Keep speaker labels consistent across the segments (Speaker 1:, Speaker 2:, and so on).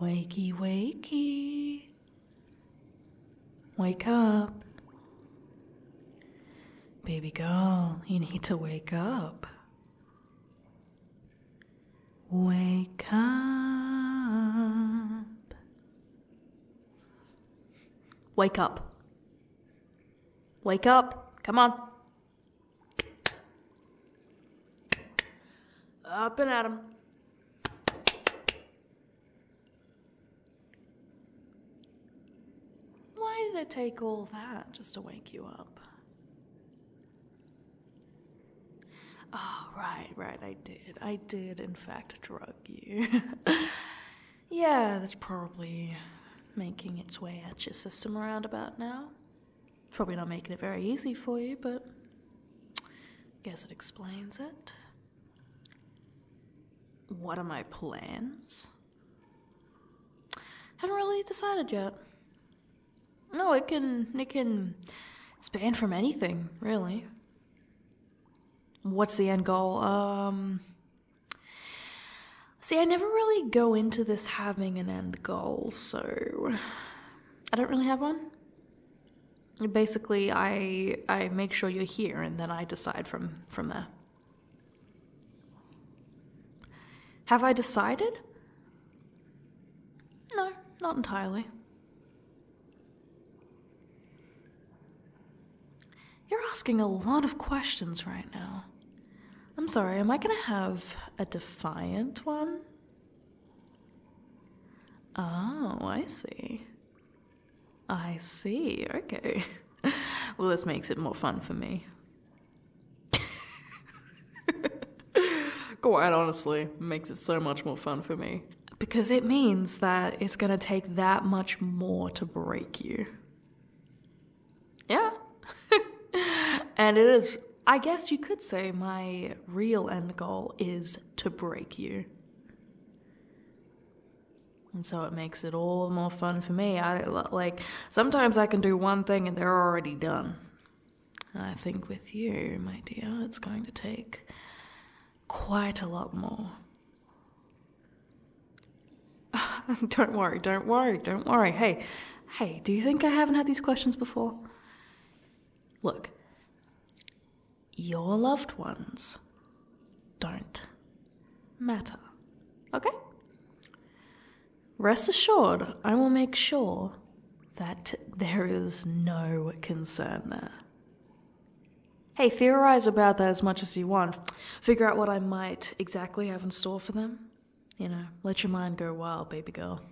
Speaker 1: Wakey, wakey. Wake up. Baby girl, you need to wake up. Wake up. Wake up. Wake up. Come on. Up and at 'em. Why did it take all that just to wake you up? Oh, right, right, I did. I did, in fact, drug you. yeah, that's probably making its way at your system around about now. Probably not making it very easy for you, but guess it explains it. What are my plans? Haven't really decided yet. No, it can it can span from anything, really. What's the end goal? Um See, I never really go into this having an end goal, so I don't really have one. Basically, I I make sure you're here and then I decide from from there. Have I decided? No, not entirely. You're asking a lot of questions right now. I'm sorry, am I gonna have a defiant one? Oh, I see. I see, okay. well, this makes it more fun for me. Quite honestly, makes it so much more fun for me. Because it means that it's gonna take that much more to break you. Yeah. and it is, I guess you could say, my real end goal is to break you. And so it makes it all the more fun for me. I like sometimes I can do one thing and they're already done. I think with you, my dear, it's going to take quite a lot more. don't worry, don't worry, don't worry. Hey, hey, do you think I haven't had these questions before? Look, your loved ones don't matter. Okay? Rest assured, I will make sure that there is no concern there. Hey, theorize about that as much as you want. Figure out what I might exactly have in store for them. You know, let your mind go wild, baby girl.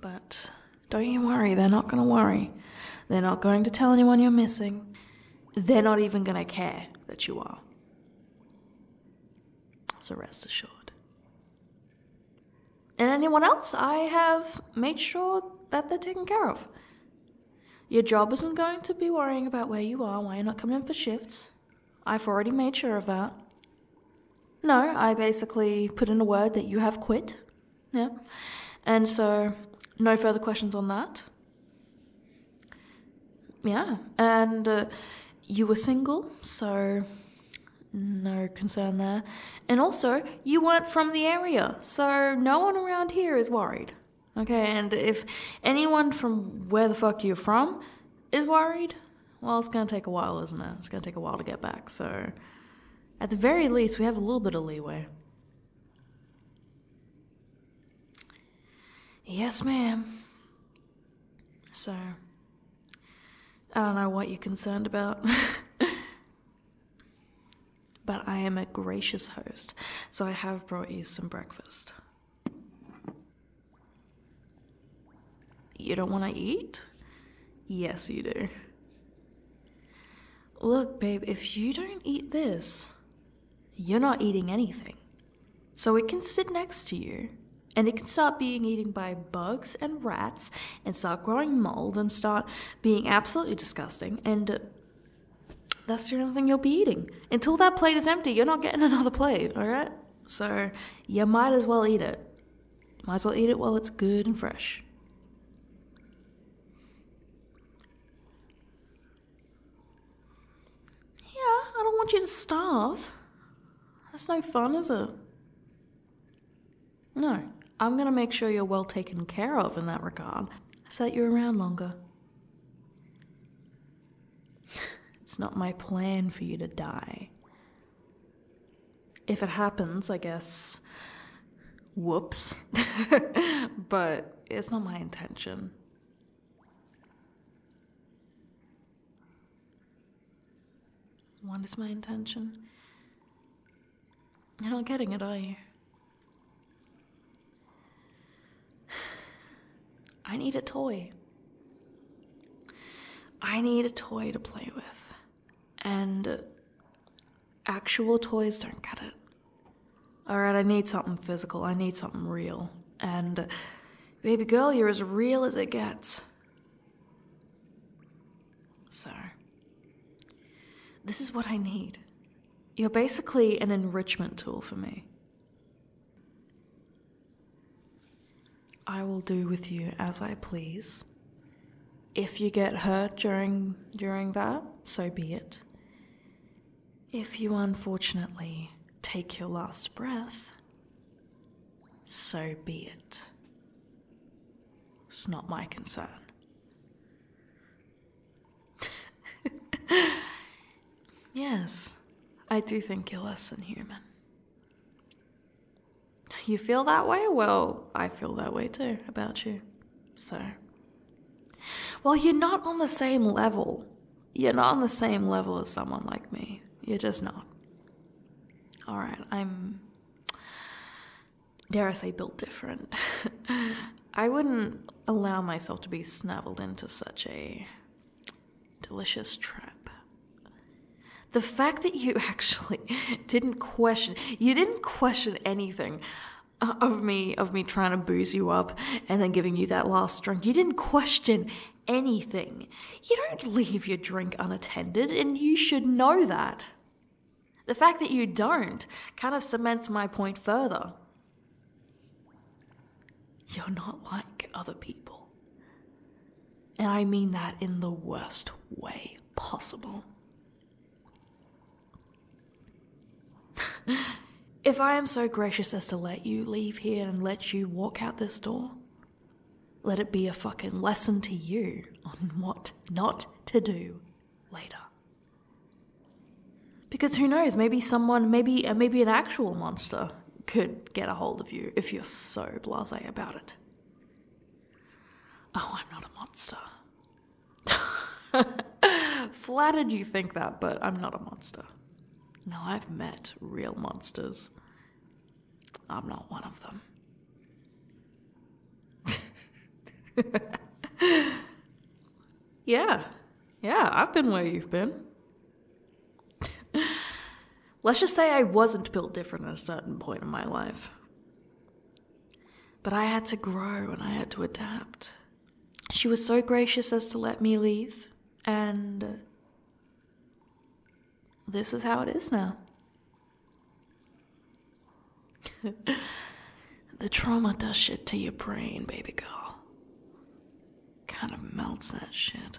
Speaker 1: But don't you worry, they're not going to worry. They're not going to tell anyone you're missing. They're not even going to care that you are. So rest assured. And anyone else, I have made sure that they're taken care of. Your job isn't going to be worrying about where you are, why you're not coming in for shifts. I've already made sure of that. No, I basically put in a word that you have quit. Yeah. And so, no further questions on that. Yeah, and uh, you were single, so no concern there. And also, you weren't from the area, so no one around here is worried. Okay, and if anyone from where the fuck you're from is worried, well, it's gonna take a while, isn't it? It's gonna take a while to get back, so at the very least, we have a little bit of leeway. Yes, ma'am. So, I don't know what you're concerned about. but I am a gracious host, so I have brought you some breakfast. You don't want to eat? Yes, you do. Look, babe, if you don't eat this, you're not eating anything. So it can sit next to you, and it can start being eaten by bugs and rats, and start growing mold, and start being absolutely disgusting, and uh, that's the only thing you'll be eating. Until that plate is empty, you're not getting another plate, alright? So you might as well eat it. Might as well eat it while it's good and fresh. Yeah, I don't want you to starve. That's no fun, is it? No, I'm gonna make sure you're well taken care of in that regard, so that you're around longer. it's not my plan for you to die. If it happens, I guess. Whoops. but it's not my intention. What is my intention? You're not getting it, are you? I need a toy. I need a toy to play with. And actual toys don't get it. All right, I need something physical. I need something real. And, baby girl, you're as real as it gets. So, this is what I need. You're basically an enrichment tool for me. I will do with you as I please. If you get hurt during during that, so be it. If you unfortunately take your last breath, so be it. It's not my concern. yes, I do think you're less than human. You feel that way? Well, I feel that way too about you. So, well, you're not on the same level. You're not on the same level as someone like me. You're just not. All right, I'm, dare I say, built different. I wouldn't allow myself to be snaveled into such a delicious trap. The fact that you actually didn't question, you didn't question anything of me of me trying to booze you up and then giving you that last drink. You didn't question anything. You don't leave your drink unattended and you should know that. The fact that you don't kind of cements my point further. You're not like other people. And I mean that in the worst way possible if I am so gracious as to let you leave here and let you walk out this door, let it be a fucking lesson to you on what not to do later. Because who knows, maybe someone, maybe, uh, maybe an actual monster could get a hold of you if you're so blase about it. Oh, I'm not a monster. Flattered you think that, but I'm not a monster. No, I've met real monsters. I'm not one of them. yeah. Yeah, I've been where you've been. Let's just say I wasn't built different at a certain point in my life. But I had to grow and I had to adapt she was so gracious as to let me leave, and this is how it is now. the trauma does shit to your brain, baby girl. Kind of melts that shit.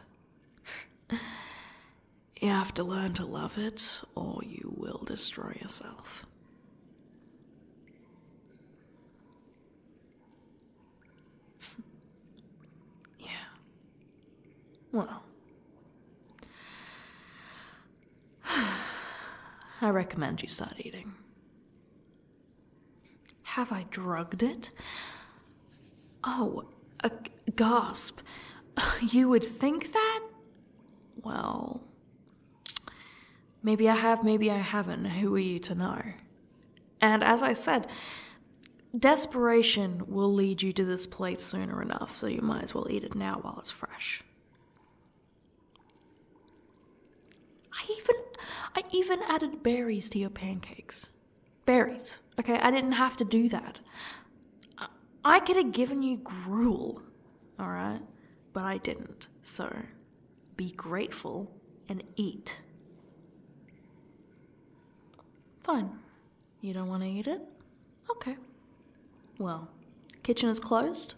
Speaker 1: you have to learn to love it, or you will destroy yourself. yeah. Well, I recommend you start eating. Have I drugged it? Oh, a gasp. You would think that? Well, Maybe I have, maybe I haven't. Who are you to know? And as I said, desperation will lead you to this plate sooner enough, so you might as well eat it now while it's fresh. I even I even added berries to your pancakes. Berries. Okay, I didn't have to do that. I, I could have given you gruel, all right? But I didn't. So, be grateful, and eat. Fine. You don't want to eat it? Okay. Well, kitchen is closed.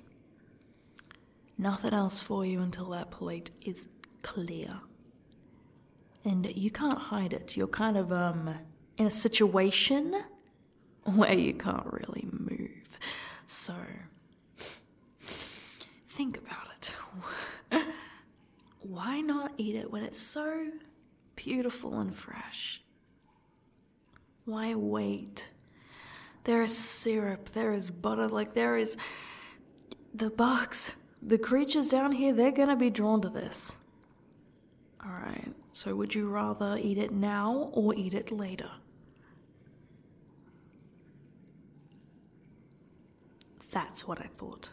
Speaker 1: Nothing else for you until that plate is clear. And you can't hide it. You're kind of um in a situation where you can't really move. So Think about it. Why not eat it when it's so beautiful and fresh? Why wait? There is syrup, there is butter, like there is the bugs, the creatures down here, they're gonna be drawn to this. Alright, so would you rather eat it now or eat it later? That's what I thought.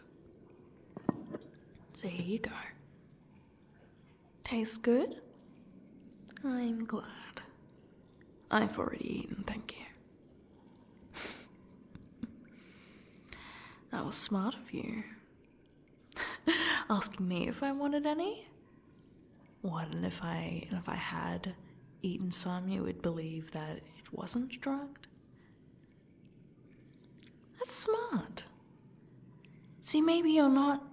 Speaker 1: So here you go. Tastes good? I'm glad. I've already eaten, thank you. that was smart of you. Asking me if I wanted any? what if I if I had eaten some you would believe that it wasn't drugged? That's smart. See maybe you're not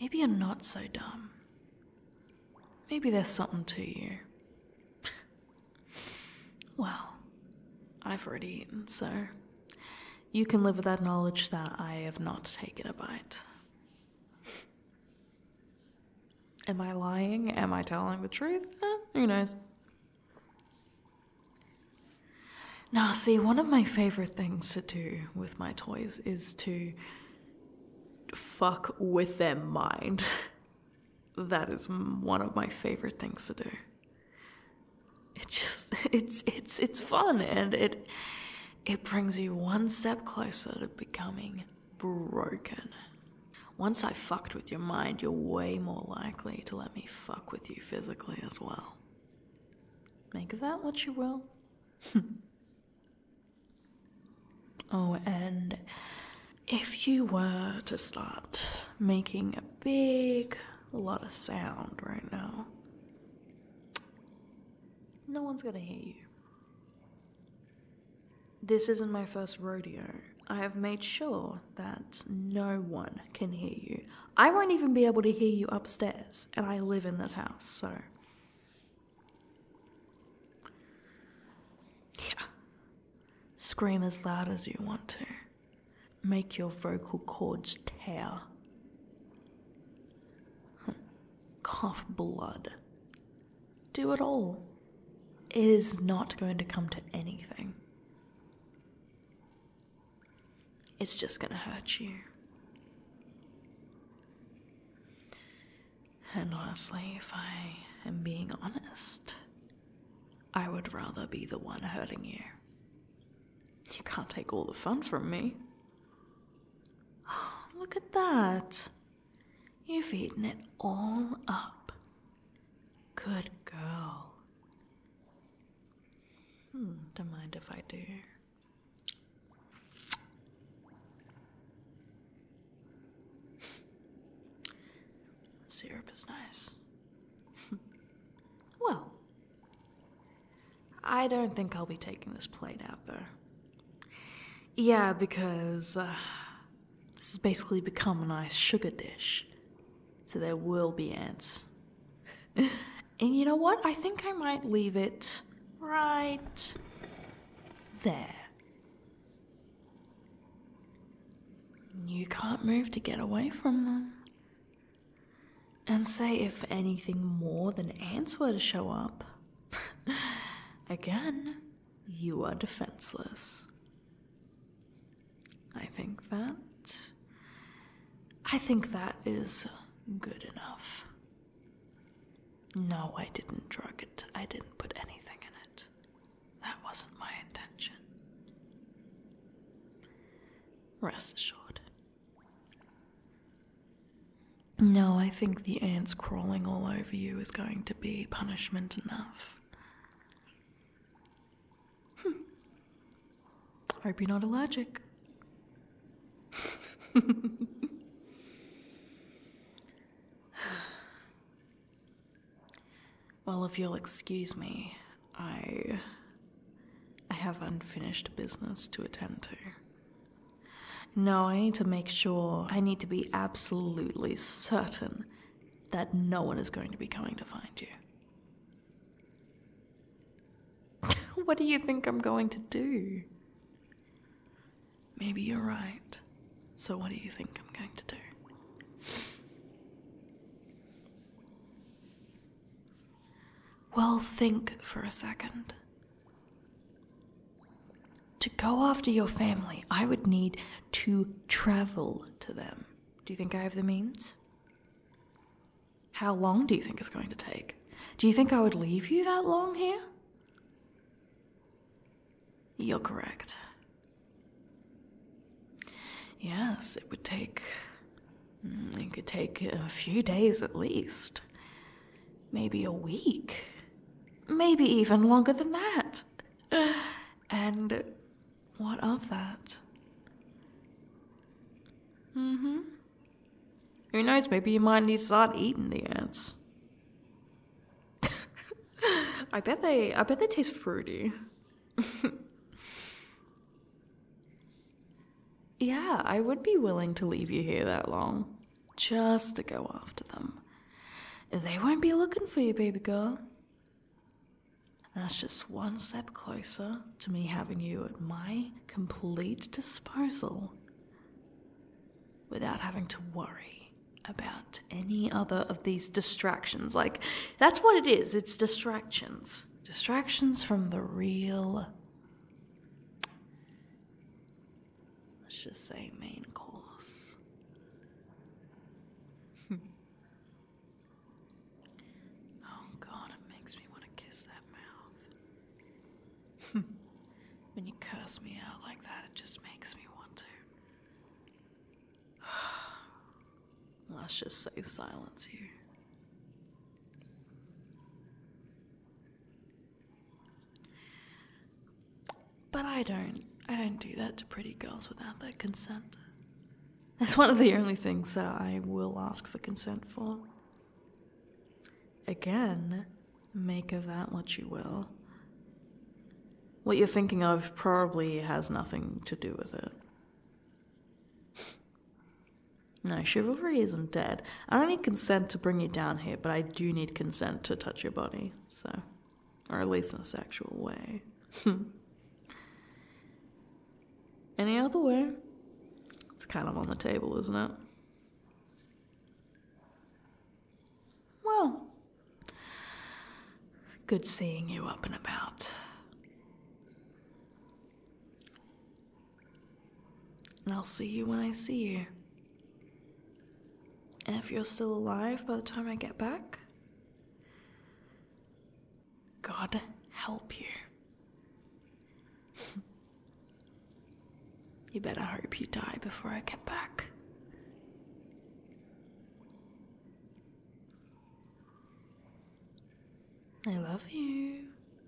Speaker 1: maybe you're not so dumb. Maybe there's something to you. well, I've already eaten, so you can live with that knowledge that I have not taken a bite. Am I lying? Am I telling the truth? Eh, who knows? Now, see, one of my favorite things to do with my toys is to fuck with their mind. that is one of my favorite things to do. It just it's it's it's fun and it it brings you one step closer to becoming broken. Once I fucked with your mind, you're way more likely to let me fuck with you physically as well. Make that what you will. oh, and if you were to start making a big lot of sound right now, no one's gonna hear you. This isn't my first rodeo. I have made sure that no one can hear you. I won't even be able to hear you upstairs, and I live in this house, so. Yeah. Scream as loud as you want to. Make your vocal cords tear. Cough blood do it all. It is not going to come to anything. It's just going to hurt you. And honestly, if I am being honest, I would rather be the one hurting you. You can't take all the fun from me. look at that. You've eaten it all up. Good girl. Hmm, don't mind if I do. Syrup is nice. well, I don't think I'll be taking this plate out there. Yeah, because uh, this has basically become a nice sugar dish. So there will be ants. and you know what? I think I might leave it right there. You can't move to get away from them. And say if anything more than ants were to show up. Again, you are defenseless. I think that. I think that is good enough. No, I didn't drug it. I didn't put anything in it. That wasn't my intention. Rest assured. No, I think the ants crawling all over you is going to be punishment enough. Hmm. Hope you're not allergic. well, if you'll excuse me, I. I have unfinished business to attend to. No, I need to make sure, I need to be absolutely certain that no one is going to be coming to find you. what do you think I'm going to do? Maybe you're right. So, what do you think I'm going to do? Well, think for a second. To go after your family, I would need to travel to them. Do you think I have the means? How long do you think it's going to take? Do you think I would leave you that long here? You're correct. Yes, it would take. Mm, it could take a few days at least maybe a week, maybe even longer than that. And what of that? Mm hmm. Who knows, maybe you might need to start eating the ants. I bet they I bet they taste fruity. Yeah, I would be willing to leave you here that long. Just to go after them. They won't be looking for you, baby girl. That's just one step closer to me having you at my complete disposal without having to worry about any other of these distractions. Like, that's what it is it's distractions. Distractions from the real Let's just say main course. oh god, it makes me want to kiss that mouth. when you curse me out like that, it just makes me want to. Let's just say silence here. But I don't. I don't do that to pretty girls without their consent. That's one of the only things that I will ask for consent for. Again, make of that what you will. What you're thinking of probably has nothing to do with it. No, chivalry isn't dead. I don't need consent to bring you down here, but I do need consent to touch your body, so. Or at least in a sexual way. Any other way? It's kind of on the table, isn't it? Well, good seeing you up and about. And I'll see you when I see you. And if you're still alive by the time I get back, God help you. you better hope you die before I get back. I love you.